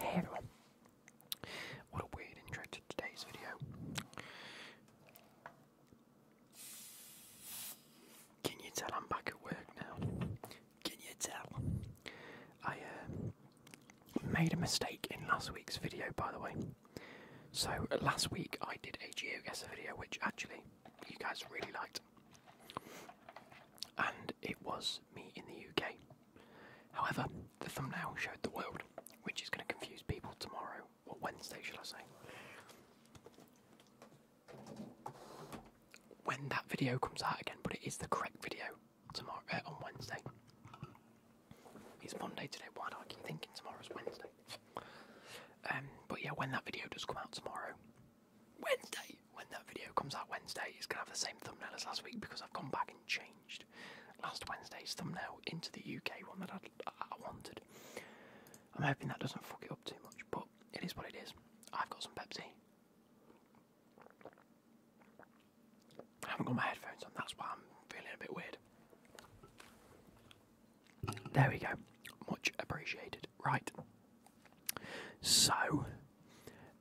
Hey everyone, what a weird intro to today's video. Can you tell I'm back at work now? Can you tell? I uh, made a mistake in last week's video, by the way. So, last week I did a geo guesser video, which actually you guys really liked. And it was me in the UK. However, the thumbnail showed the world, which is going to confuse people tomorrow, or Wednesday, shall I say. When that video comes out again, but it is the correct video, tomorrow uh, on Wednesday. It's Monday today. Why do I keep thinking tomorrow's Wednesday? Um, but yeah, when that video does come out tomorrow, Wednesday, when that video comes out Wednesday, it's gonna have the same thumbnail as last week because I've gone back and changed last Wednesday's thumbnail into the UK one that I wanted. I'm hoping that doesn't fuck it up too much, but it is what it is. I've got some Pepsi. I haven't got my headphones on, that's why I'm feeling a bit weird. There we go, much appreciated. Right, so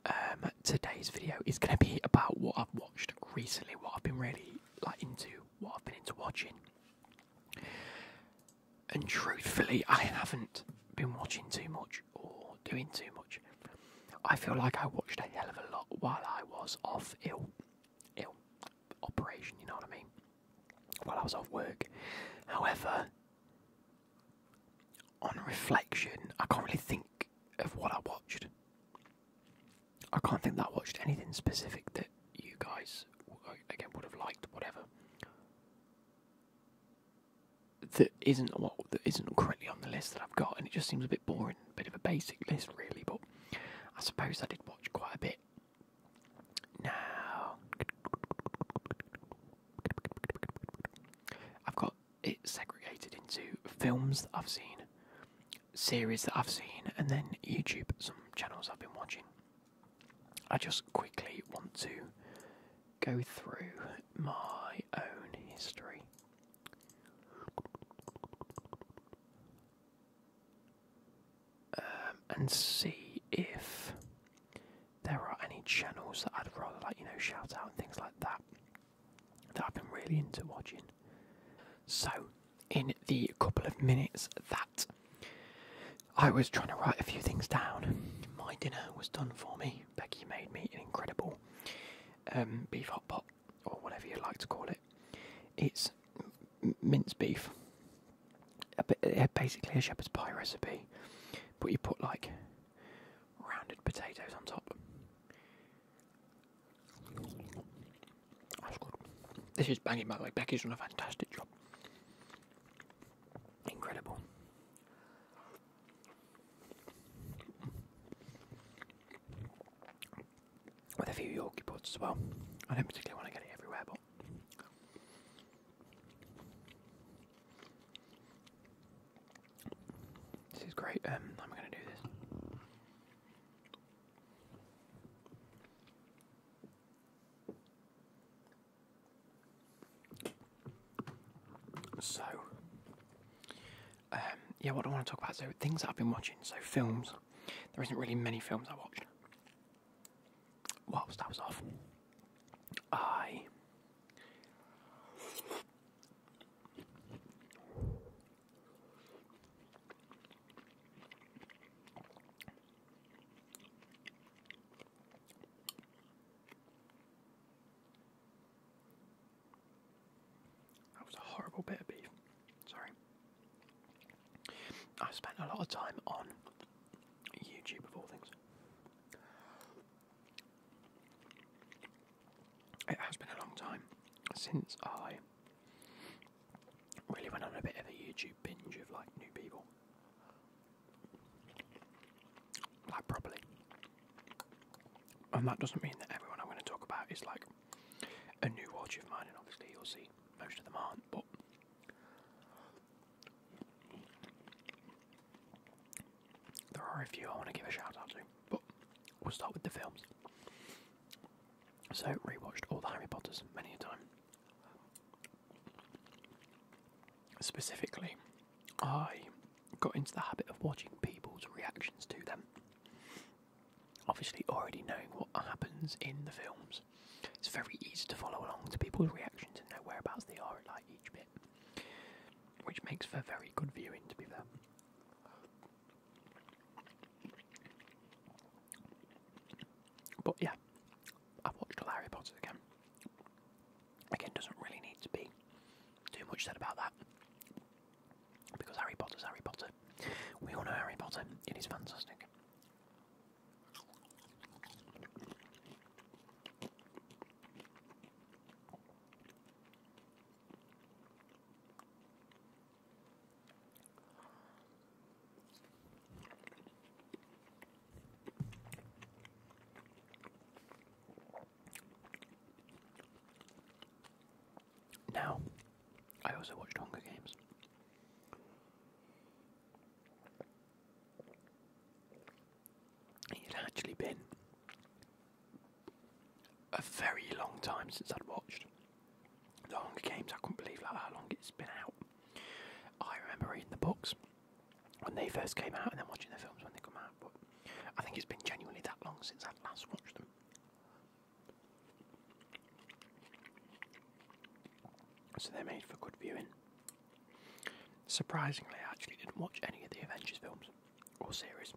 um, today's video is going to be about what I've watched recently, what I've been really like into, what I've been into watching. And truthfully, I haven't been watching too much or doing too much. I feel like I watched a hell of a lot while I was off ill, ill operation. You know what I mean? While I was off work. However, on reflection, I can't really think of what I watched. I can't think that I watched anything specific that you guys again would have liked. Whatever that isn't well, that isn't currently on the list that I've got, and it just seems a bit boring, a bit of a basic list really. But I suppose I did watch quite a bit. Now I've got it segregated into films that I've seen, series that I've seen, and then YouTube, some channels I've been watching. I just quickly want to go through my own history. Um, and see if there are any channels that I'd rather like, you know, shout out and things like that that I've been really into watching. So, in the couple of minutes that I was trying to write a few things down, my dinner was done for me. Becky. made me an incredible um, beef hot pot, or whatever you like to call it. It's minced beef, basically a shepherd's pie recipe, but you put like rounded potatoes on top. That's good. This is banging, by the way. Becky's done a fantastic job. Incredible. With a few Yorkie pods as well. I don't particularly want to get it everywhere, but. This is great. Um, I'm going to do this. So, um, yeah, what I want to talk about so things that I've been watching. So films. There isn't really many films I watched. Whilst I off, I. That was a horrible bit of beef. Sorry. I spent a lot of time on YouTube of all things. It has been a long time since I really went on a bit of a YouTube binge of like new people. Like properly. And that doesn't mean that everyone I'm going to talk about is like a new watch of mine, and obviously you'll see most of them aren't, but there are a few I want to give a shout out to. But we'll start with the films. So rewatched all the Harry Potters many a time specifically, I got into the habit of watching people's reactions to them. Obviously, already knowing what happens in the films, it's very easy to follow along to people's reactions and know whereabouts they are at like each bit, which makes for very good viewing, to be fair. But yeah, I've watched Harry Potter again. Again, doesn't really need to be too much said about that because Harry Potter's Harry Potter. We all know Harry Potter, it is fantastic. Now, I also watched Hunger Games. It had actually been a very long time since I'd watched The Hunger Games. I couldn't believe how long it's been out. I remember reading the books when they first came out, and then watching the films when they come out. But I think it's been genuinely that long since I last watched them. So they're made for good viewing. Surprisingly, I actually didn't watch any of the Avengers films or series.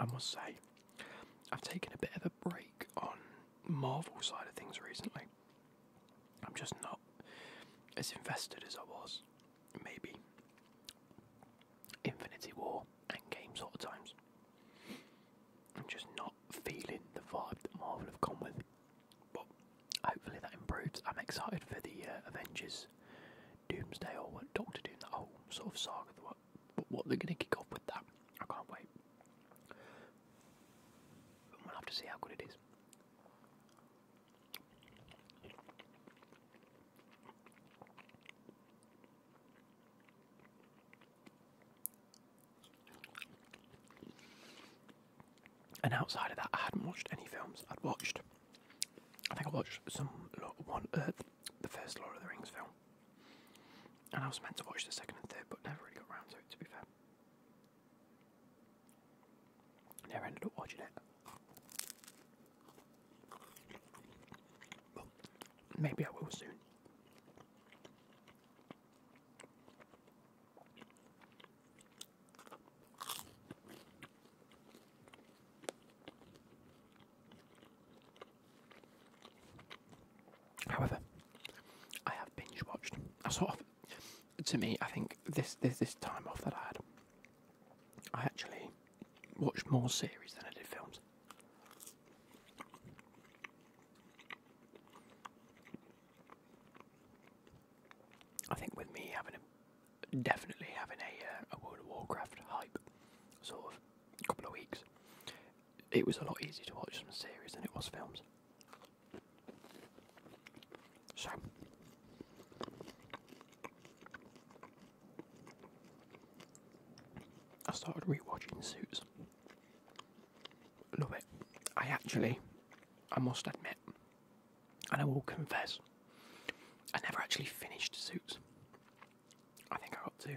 I must say, I've taken a bit of a break on Marvel side of things recently. I'm just not as invested as I was. Maybe Infinity War and games all the times. I'm just not feeling the vibe that Marvel have come with. But hopefully that improves. I'm excited for the uh, Avengers Doomsday or what Doctor Doom, that whole sort of saga. What, what they're going to kick off with that. I can't wait we'll have to see how good it is. And outside of that, I hadn't watched any films. I'd watched, I think I watched some One Earth, uh, the first Lord of the Rings film, and I was meant to watch the second and third, but never really got round to it, to be fair. Never ended up watching it. maybe I will soon. However, I have binge watched. I sort of, to me, I think this this this time off that I had, I actually watched more series than I did films. I think with me having a definitely having a, uh, a World of Warcraft hype sort of couple of weeks, it was a lot easier to watch some series than it was films. So, I started rewatching Suits. Love it. I actually, I must admit, and I will confess, I never actually finished Suits. I think I ought to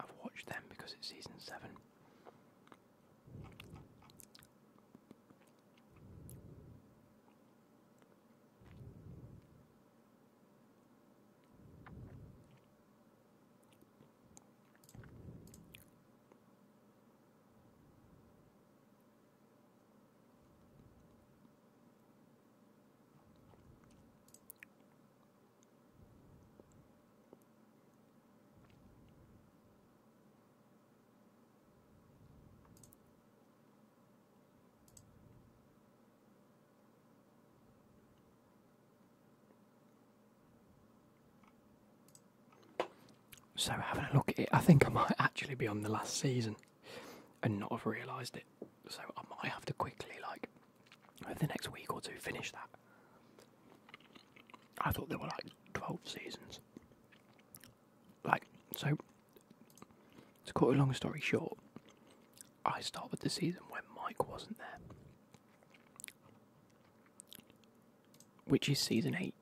I've watched them because it's season 7. So having a look at it, I think I might actually be on the last season and not have realised it. So I might have to quickly like over the next week or two, finish that. I thought there were like 12 seasons. Like, so, to cut a long story short, I started the season when Mike wasn't there. Which is season 8.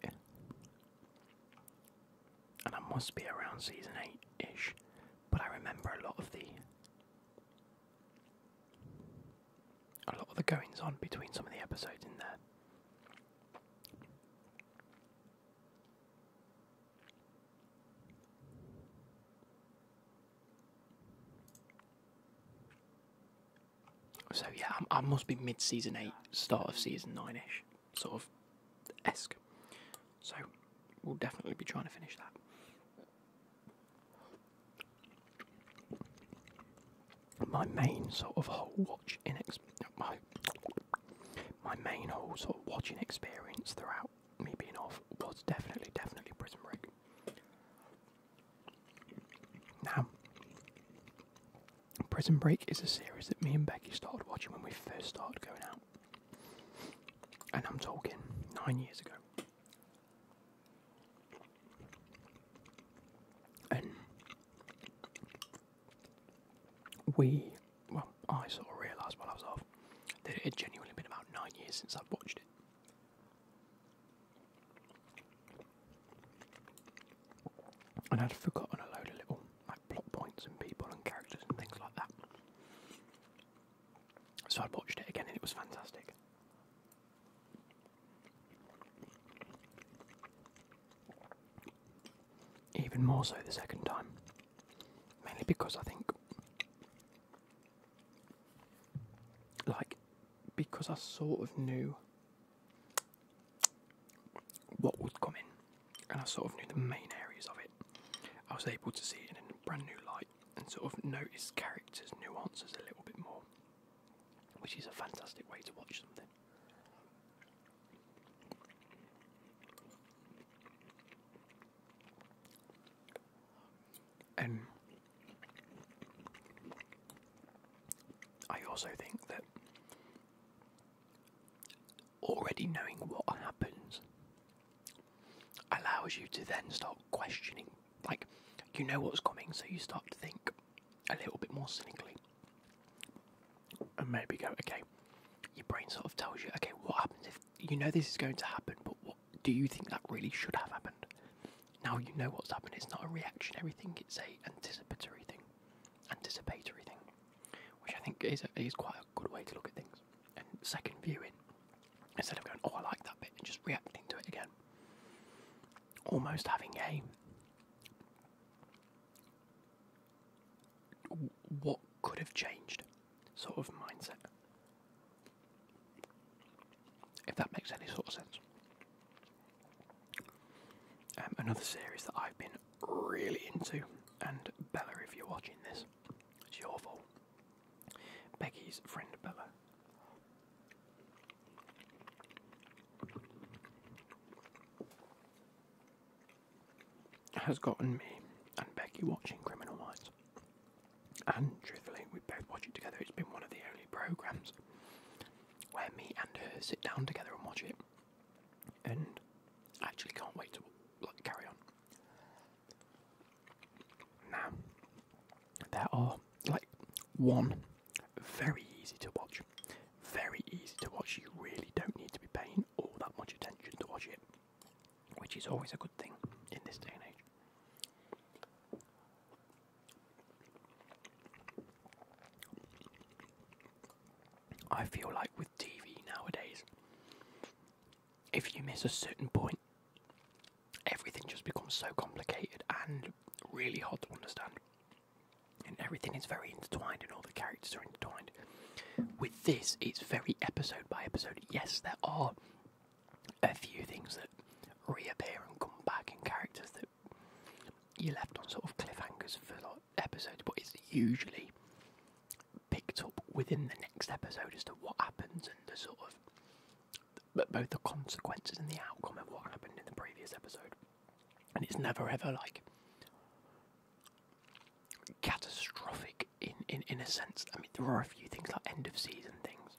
And I must be around season 8 ish, but I remember a lot of the a lot of the goings on between some of the episodes in there. So yeah, I, must be mid-season eight, start of season nine-ish, sort of esque. So we'll definitely be trying to finish that. My main sort of whole watch in my my main whole sort of watching experience throughout me being off was definitely definitely Prison Break. Now, Prison Break is a series that me and Becky started watching when we first started going out, and I'm talking nine years ago. And we, well, I sort of realised while it had genuinely been about nine years since I'd watched it. And I'd forgotten a load of little like plot points and people and characters and things like that. So i watched it again and it was fantastic. Even more so the second time, mainly because I think, like, because I sort of knew what would come in, and I sort of knew the main areas of it, I was able to see it in a brand new light and sort of notice characters' nuances a little bit more, which is a fantastic way to watch something. And um, I also think that already knowing what happens allows you to then start questioning like you know what's coming, so you start to think a little bit more cynically, and maybe go, okay. Your brain sort of tells you, okay, what happens if you know this is going to happen, but what do you think that really should have happened? Now you know what's happened. It's not a reaction. Everything it's a anticipatory thing, anticipatory thing, which I think is is quite a good way to look at things. And second viewing Instead of going, oh, I like that bit, and just reacting to it again. Almost having a. What could have changed sort of mindset. If that makes any sort of sense. Um, another series that I've been really into, and Bella, if you're watching this, it's your fault. Becky's friend Bella. Has gotten me and Becky watching Criminal Minds, and truthfully, we both watch it together. It's been one of the only programs where me and her sit down together and watch it, and I actually can't wait to like carry on. Now, there are like one very easy to watch, very easy to watch. You really don't need to be paying all that much attention to watch it, which is always a good thing in this day and age. I feel like with TV nowadays, if you miss a certain point, everything just becomes so complicated and really hard to understand. And everything is very intertwined, and all the characters are intertwined. With this, it's very episode by episode. Yes, there are a few things that reappear and come back, in characters that you left on sort of cliffhangers for like episodes, but it's usually picked up within the next episode as to what happens and the sort of but both the consequences and the outcome of what happened in the previous episode. And it's never ever like catastrophic in, in, in a sense. I mean, there are a few things like end of season things,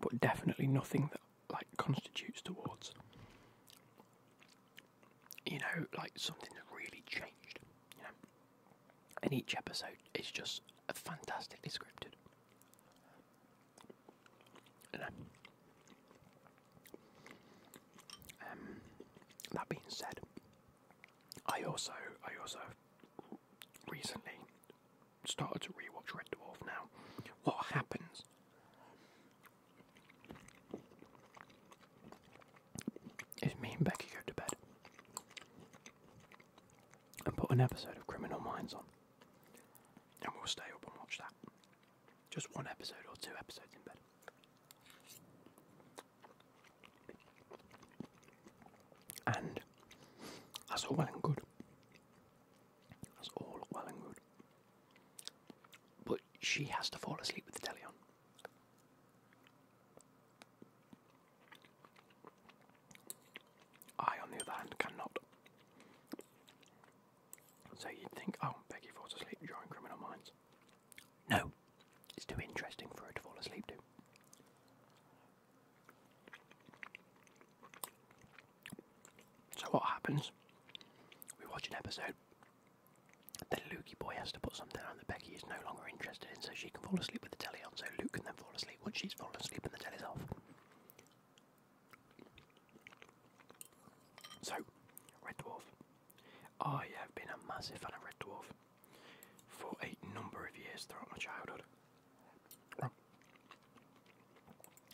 but definitely nothing that like constitutes towards you know like something that really changed. And each episode is just fantastically scripted. And, um, um, that being said, I also I also recently started to rewatch Red Dwarf. Now, what happens if me and Becky go to bed and put an episode of Criminal Minds on, and we'll stay up and watch that. Just one episode or two episodes in bed. And that's all well and good. That's all well and good. But she has to fall asleep with the telly on. I, on the other hand, cannot. So you'd think, oh, Becky falls asleep during Criminal Minds. No, it's too interesting for her to fall asleep to. So what happens? We watch an episode. Then Lukey Boy has to put something that Becky is no longer interested in, so she can fall asleep with the telly on, so Luke can then fall asleep once she's fallen asleep and the telly's off. So, Red Dwarf. I have been a massive fan of Red Dwarf for a number of years throughout my childhood. I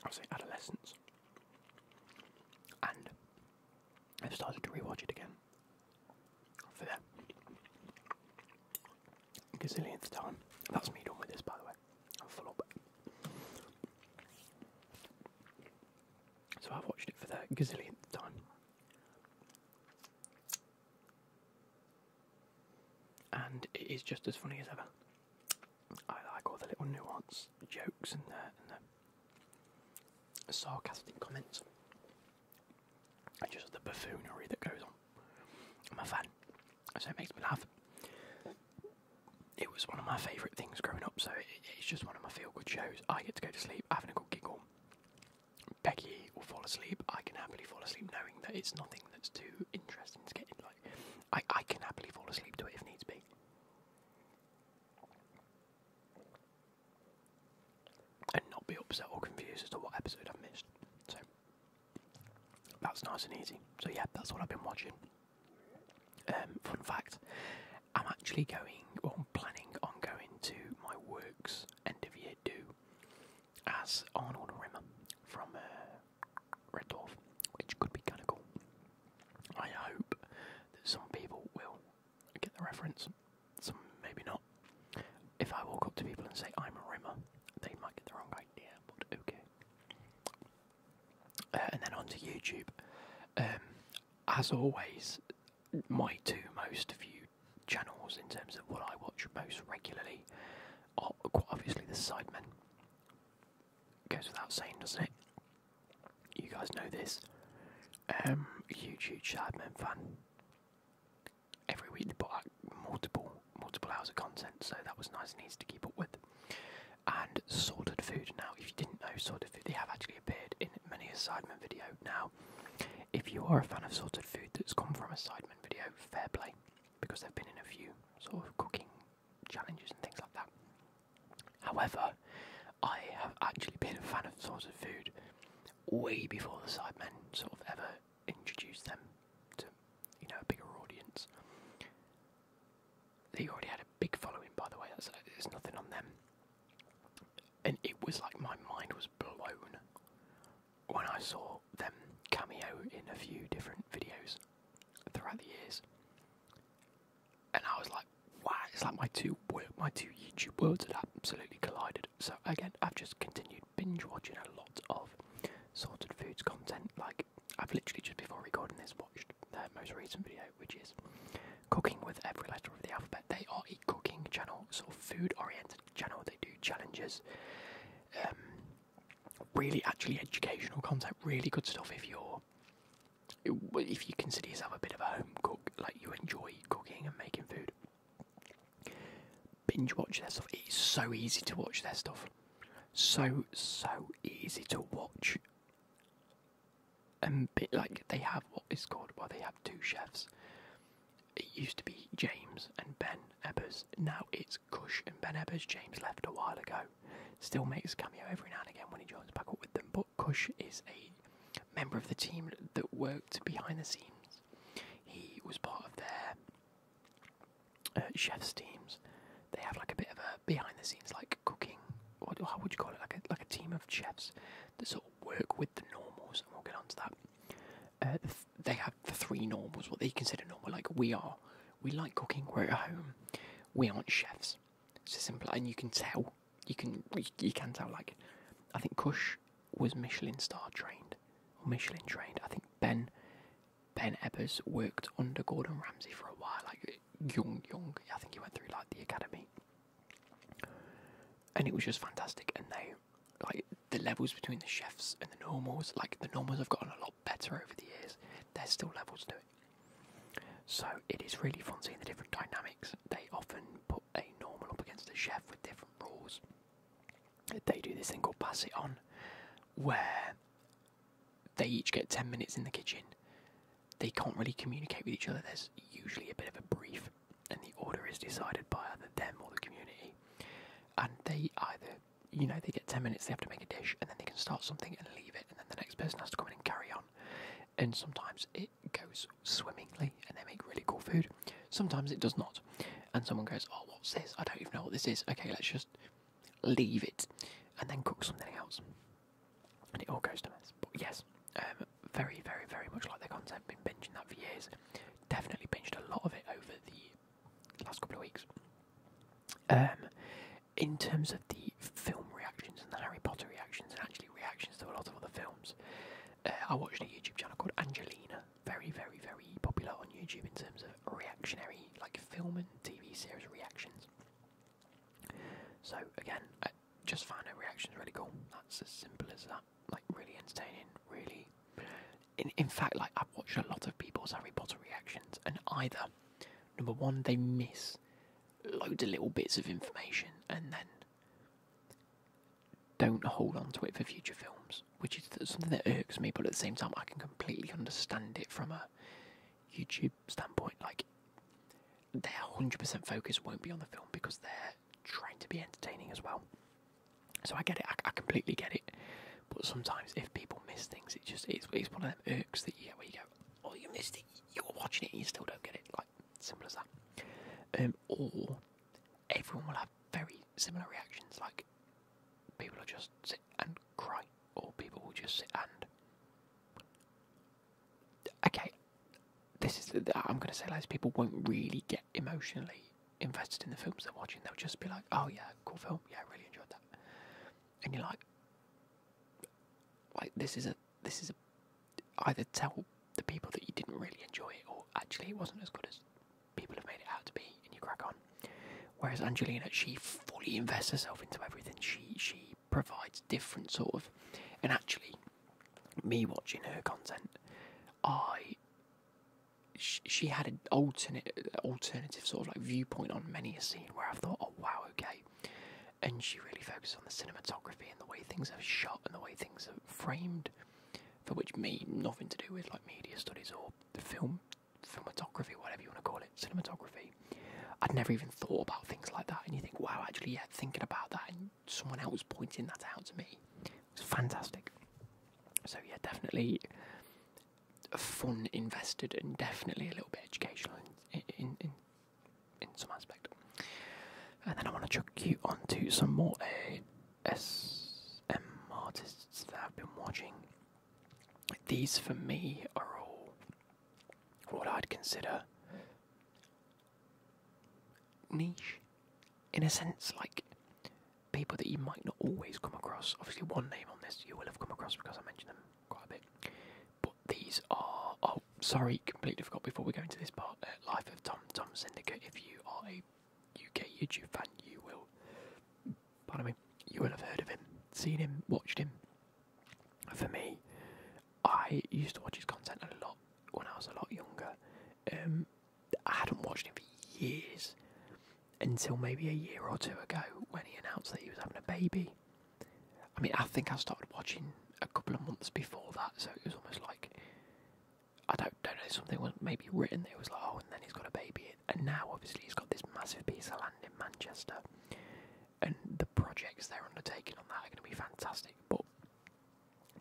would say adolescence. And I've started to rewatch it again for that gazillionth time. That's me done this, by the way. full up. So I've watched it for the gazillionth time. And it is just as funny as ever. I like all the little nuance jokes and and the sarcastic comments and just the buffoonery that goes on. I'm a fan, so it makes me laugh. It was one of my favourite things growing up, so it's just one of my feel good shows. I get to go to sleep having a good giggle. Becky will fall asleep. I can happily fall asleep knowing that it's nothing that's too interesting to get in. Like, I, I can happily fall asleep to it if needs be and not be upset or confused as to what episode I've missed. So that's nice and easy. So yeah, that's what I've been watching. Um, fun fact: I'm actually going, or planning on going to my work's end of year do as Arnold Rimmer from uh, Red Dwarf, which could be kind of cool. I hope that some people will get the reference, some maybe not. If I walk up to people and say I'm a rimmer, they might get the wrong idea, but okay. Uh, and then onto YouTube. Um, as always, my two most viewed channels in terms of what I watch most regularly are quite obviously the Sidemen. Goes without saying, doesn't it? You guys know this. Um, huge, huge Sidemen fan every week they put out multiple multiple hours of content, so that was nice and to keep up with. And Sorted Food. Now, if you didn't know Sorted Food, they have actually appeared in many a Sidemen video. Now, if you are a fan of Sorted Food that's come from a Sidemen video, fair play, because they've been in a few sort of cooking challenges and things like that. However, I have actually been a fan of Sorted Food way before the Sidemen sort of ever introduced them to, you know, a bigger audience. They already had a big following, by the way. there's nothing on them, and it was like my mind was blown when I saw them cameo in a few different videos throughout the years, and I was like, "Wow!" It's like my two my two YouTube worlds had absolutely collided. So again, I've just continued binge watching a lot of sorted foods content. Like I've literally just before recording this watched their most recent video, which is cooking with every letter of the alphabet. They are a cooking channel, so food-oriented channel. They do challenges. Um, really, actually educational content. Really good stuff if you're if you consider yourself a bit of a home cook, like you enjoy cooking and making food binge watch their stuff. It's so easy to watch their stuff. So so easy to watch. And like they have what is called well they have two chefs. It used to be James and Ben Ebers. Now it's Cush and Ben Ebers. James left a while ago. Still makes cameo every now and again when he joins back up with them, but Kush is a member of the team that worked behind the scenes. He was part of their uh, chefs teams. They have like a bit of a behind the scenes like cooking. Or how would you call it? Like a like a team of chefs that sort of work with the normals, and we'll get onto that. Uh, they have the three normals, what they consider normal. Like we are, we like cooking. We're at home. We aren't chefs. It's as simple, and you can tell you can you can tell like I think Kush was Michelin star trained or Michelin trained. I think Ben Ben Ebbers worked under Gordon Ramsay for a while, like young young. I think he went through like the academy, and it was just fantastic. And they like the levels between the chefs and the normals. Like the normals have gotten a lot better over the years. They're still levels to it. So it is really fun seeing the different dynamics. They often put a normal up against a chef with different rules. They do this thing called pass it on, where they each get 10 minutes in the kitchen. They can't really communicate with each other, there's usually a bit of a brief, and the order is decided by either them or the community. And they either, you know, they get 10 minutes, they have to make a dish, and then they can start something and leave it, and then the next person has to come in and carry on. And sometimes it goes swimmingly and they make really cool food. Sometimes it does not. And someone goes, Oh, what's this? I don't even know what this is. Okay, let's just leave it and then cook something else. And it all goes to mess. But yes, um, very, very, very much like the content. Been binging that for years. Definitely binged a lot of it over the last couple of weeks. Um, in terms of the film reactions and the Harry Potter reactions, and actually reactions to a lot of other films. Uh, I watched a YouTube channel called Angelina, very, very, very popular on YouTube in terms of reactionary, like film and TV series reactions. So again, just find her reactions really cool. That's as simple as that. Like really entertaining, really. In in fact, like I've watched a lot of people's Harry Potter reactions, and either number one they miss loads of little bits of information, and then don't hold on to it for future films, which is something that irks me, but at the same time, I can completely understand it from a YouTube standpoint. Like, their 100% focus won't be on the film because they're trying to be entertaining as well. So I get it, I, completely get it. But sometimes if people miss things, it just it's, one of them irks that you where you go, oh, you missed it, you're watching it you still don't get it. Like, Simple as that. Um, or everyone will have very similar reactions. Like people will just sit and cry, or people will just sit and. Okay, this is. The, I'm going to say like people won't really get emotionally invested in the films they're watching. They'll just be like, "Oh yeah, cool film. Yeah, really enjoyed that." And you're like, "Like this is a this is a either tell the people that you didn't really enjoy it or actually it wasn't as good as people have made it out to be and you crack on. Whereas Angelina, she fully invests herself into everything. She she provides different sort of and actually me watching her content, I she, she had an alternate alternative sort of like viewpoint on many a scene where I thought, oh wow, okay and she really focused on the cinematography and the way things are shot and the way things are framed, for which me nothing to do with like media studies or the film filmography, whatever you want to call it, cinematography. I'd never even thought about things like that, and you think, wow, actually, yeah, thinking about that, and someone else pointing that out to me, it was fantastic. So yeah, definitely fun invested, and definitely a little bit educational in, in in some aspect. And then I want to chuck you onto some more ASM artists that I've been watching. These for me are all what I'd consider niche in a sense, like people that you might not always come across. Obviously, one name on this you will have come across because I mentioned them quite a bit these are. Oh, sorry, completely forgot before we go into this part. Uh, Life of Tom Tom Syndicate. If you are a UK YouTube fan, you will. Pardon me. You will have heard of him, seen him, watched him. For me, I used to watch his content a lot when I was a lot younger. Um, I hadn't watched him for years until maybe a year or two ago when he announced that he was having a baby. I mean, I think I started watching a couple of months before that, so it was almost like I don't don't know something was maybe written. It was like, oh, and then he's got a baby, and now obviously he's got this massive piece of land in Manchester, and the projects they're undertaking on that are going to be fantastic. But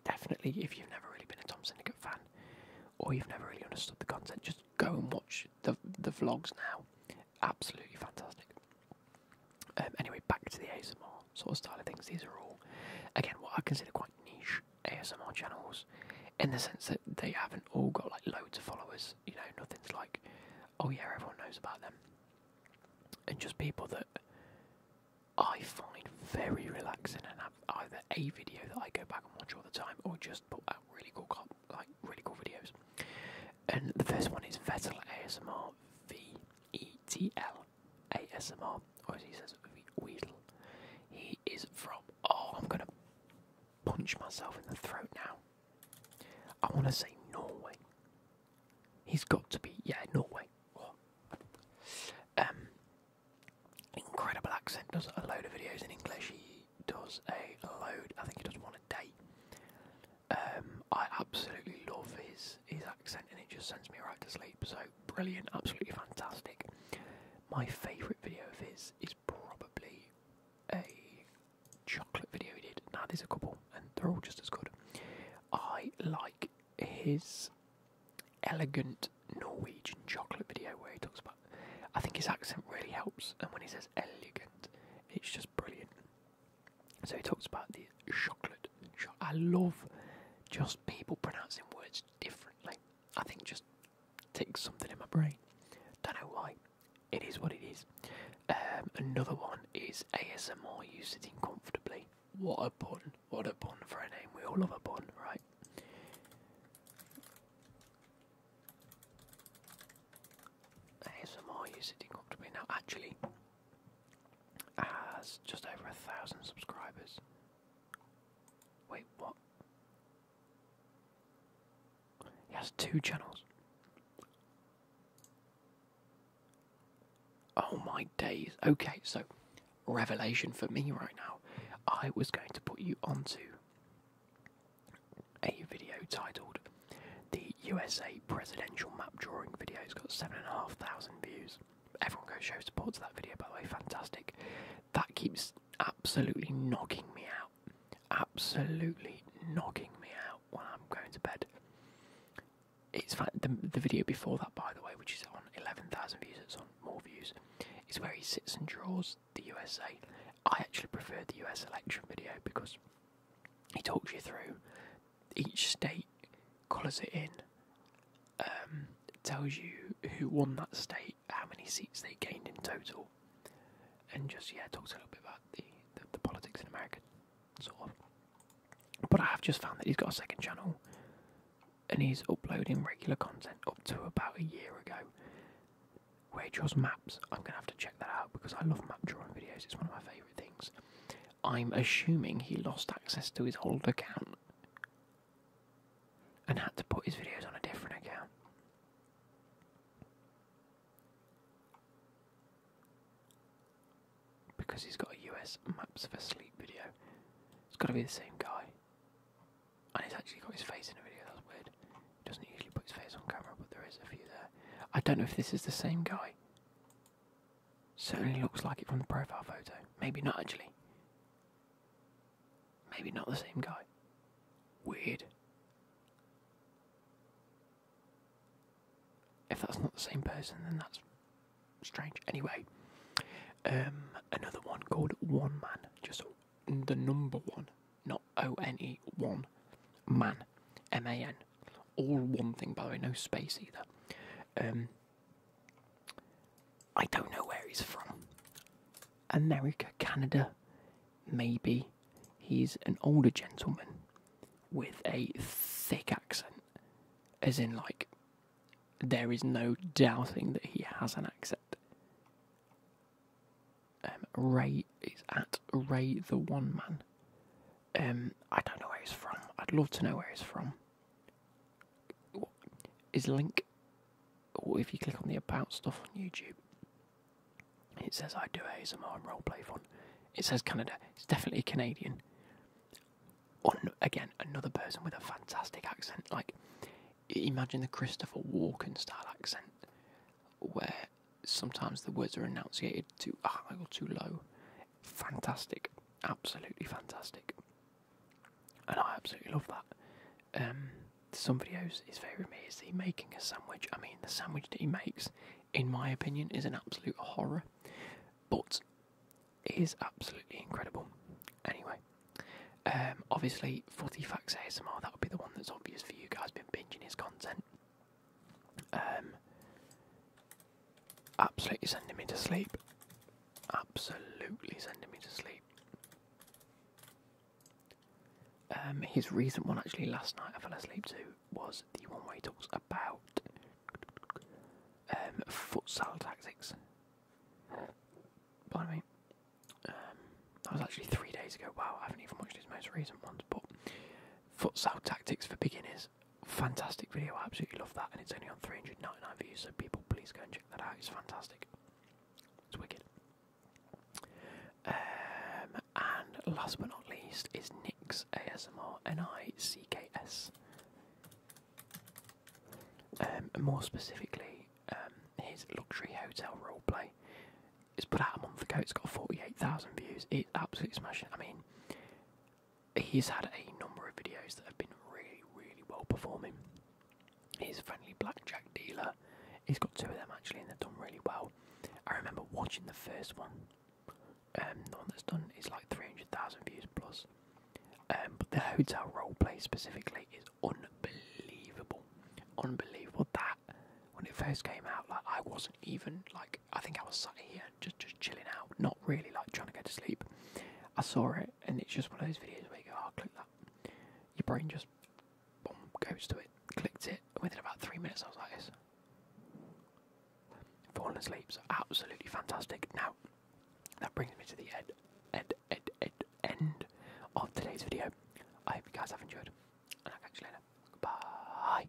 definitely, if you've never really been a Tom Syndicate fan, or you've never really understood the content, just go and watch the the vlogs now. Absolutely fantastic. Um, anyway, back to the ASMR sort of style of things. These are all, again, what I consider quite niche ASMR channels, in the sense that they haven't all got like loads of followers. You know, nothing's like, oh yeah, everyone knows about them. And just people that I find very relaxing and have either a video that I go back and watch all the time, or just put out really cool, like really cool videos. And the first one is Vettel ASMR V E T L. ASMR, or as he says, Weedle. He is from. Oh, I'm gonna punch myself in the throat now. I want to say Norway. He's got to be, yeah, Norway. What? Um, incredible accent. Does a load of videos in English. He does a load. I think he does one a day. Um, I absolutely love his his accent, and it just sends me right to sleep. So brilliant, absolutely fantastic. My favourite video of his is probably a chocolate video he did. Now there's a couple, and they're all just as good. I like his elegant Norwegian chocolate video where he talks about. I think his accent really helps, and when he says elegant, it's just brilliant. So he talks about the chocolate. I love just people pronouncing words differently. I think just takes something in my brain. Don't know why. It is what it is. Um, another one is ASMR. You sitting comfortably. What a pun! What a pun for a name. We all love a pun, right? ASMR. You sitting comfortably now. Actually, has ah, just over a thousand subscribers. Wait, what? He has two channels. Oh my days. Okay, so revelation for me right now. I was going to put you onto a video titled the USA presidential map drawing video has got 7,500 views. Everyone go show support to that video, by the way, fantastic. That keeps absolutely knocking me out. Absolutely knocking me out when I'm going to bed. It's the, the video before that, by the way, which is on 11,000 views, it's on more views, is where he sits and draws the USA. I actually prefer the US election video because he talks you through each state, calls it in, um, tells you who won that state, how many seats they gained in total, and just yeah talks a little bit about the, the, the politics in America, sort of. But I have just found that he's got a second channel, and he's uploading regular content up to about a year ago. Where he draws maps, I'm gonna have to check that out because I love map drawing videos. It's one of my favourites things. I'm assuming he lost access to his old account and had to put his videos on a different account. Because he's got a US Maps for Sleep video. It's got to be the same guy. And he's actually got his face in a video, that's weird. He doesn't usually put his face on camera, but there is a few there. I don't know if this is the same guy. Certainly looks like it from the profile photo. Maybe not actually. Maybe not the same guy. Weird. If that's not the same person, then that's strange. Anyway, um, another one called One Man. Just the number one, not O N E, one man. M A N. All one thing, by the way, no space either. Um, I don't know where he's from. America, Canada, maybe. He's an older gentleman with a thick accent, as in, like, there is no doubting that he has an accent. Um, Ray is at Ray the One Man. Um, I don't know where he's from. I'd love to know where he's from. His link, or if you click on the about stuff on YouTube, it says I do ASMR and roleplay fun. It says Canada. It's definitely Canadian. On again, another person with a fantastic accent. Like, imagine the Christopher Walken style accent, where sometimes the words are enunciated too high or too low fantastic, absolutely fantastic, and I absolutely love that. Um, some videos is favourite me is the making a sandwich. I mean, the sandwich that he makes, in my opinion, is an absolute horror, but is absolutely incredible. Anyway, um, obviously, Forty Facts ASMR, that would be the one that's obvious for you guys, been binging his content. Um, absolutely sending me to sleep. Absolutely sending me to sleep. Um, his recent one, actually, last night I fell asleep to was the one where he talks about um, futsal tactics. By the way, that was actually three days ago. Wow, I haven't even watched his most recent ones, but futsal tactics for beginners fantastic video. I absolutely love that, and it's only on 399 views. So people, please go and check that out. It's fantastic. It's wicked. Um, and last but not least is Nick's ASMR N I C K S. Um, more specifically, um, his luxury hotel role play. It's put out a month ago. It's got 48,000 views. It absolutely smashing. I mean, he's had a number of videos that have been really, really well performing. His friendly blackjack dealer, he's got two of them actually, and they've done really well. I remember watching the first one, um, the one that's done is like 300,000 views plus. Um, but the hotel role play specifically is unbelievable, unbelievable. That when it first came out, like I wasn't even like I think I was sitting here just just chilling out, not really like trying to go to sleep. I saw it, and it's just one of those videos where you go, "I'll oh, click that." Your brain just boom, goes to it, clicked it, and within about three minutes, I was like this. Falling asleep, so absolutely fantastic. Now, that brings me to the end, end, end, end, end of today's video. I hope you guys have enjoyed, and I'll catch you later. Goodbye.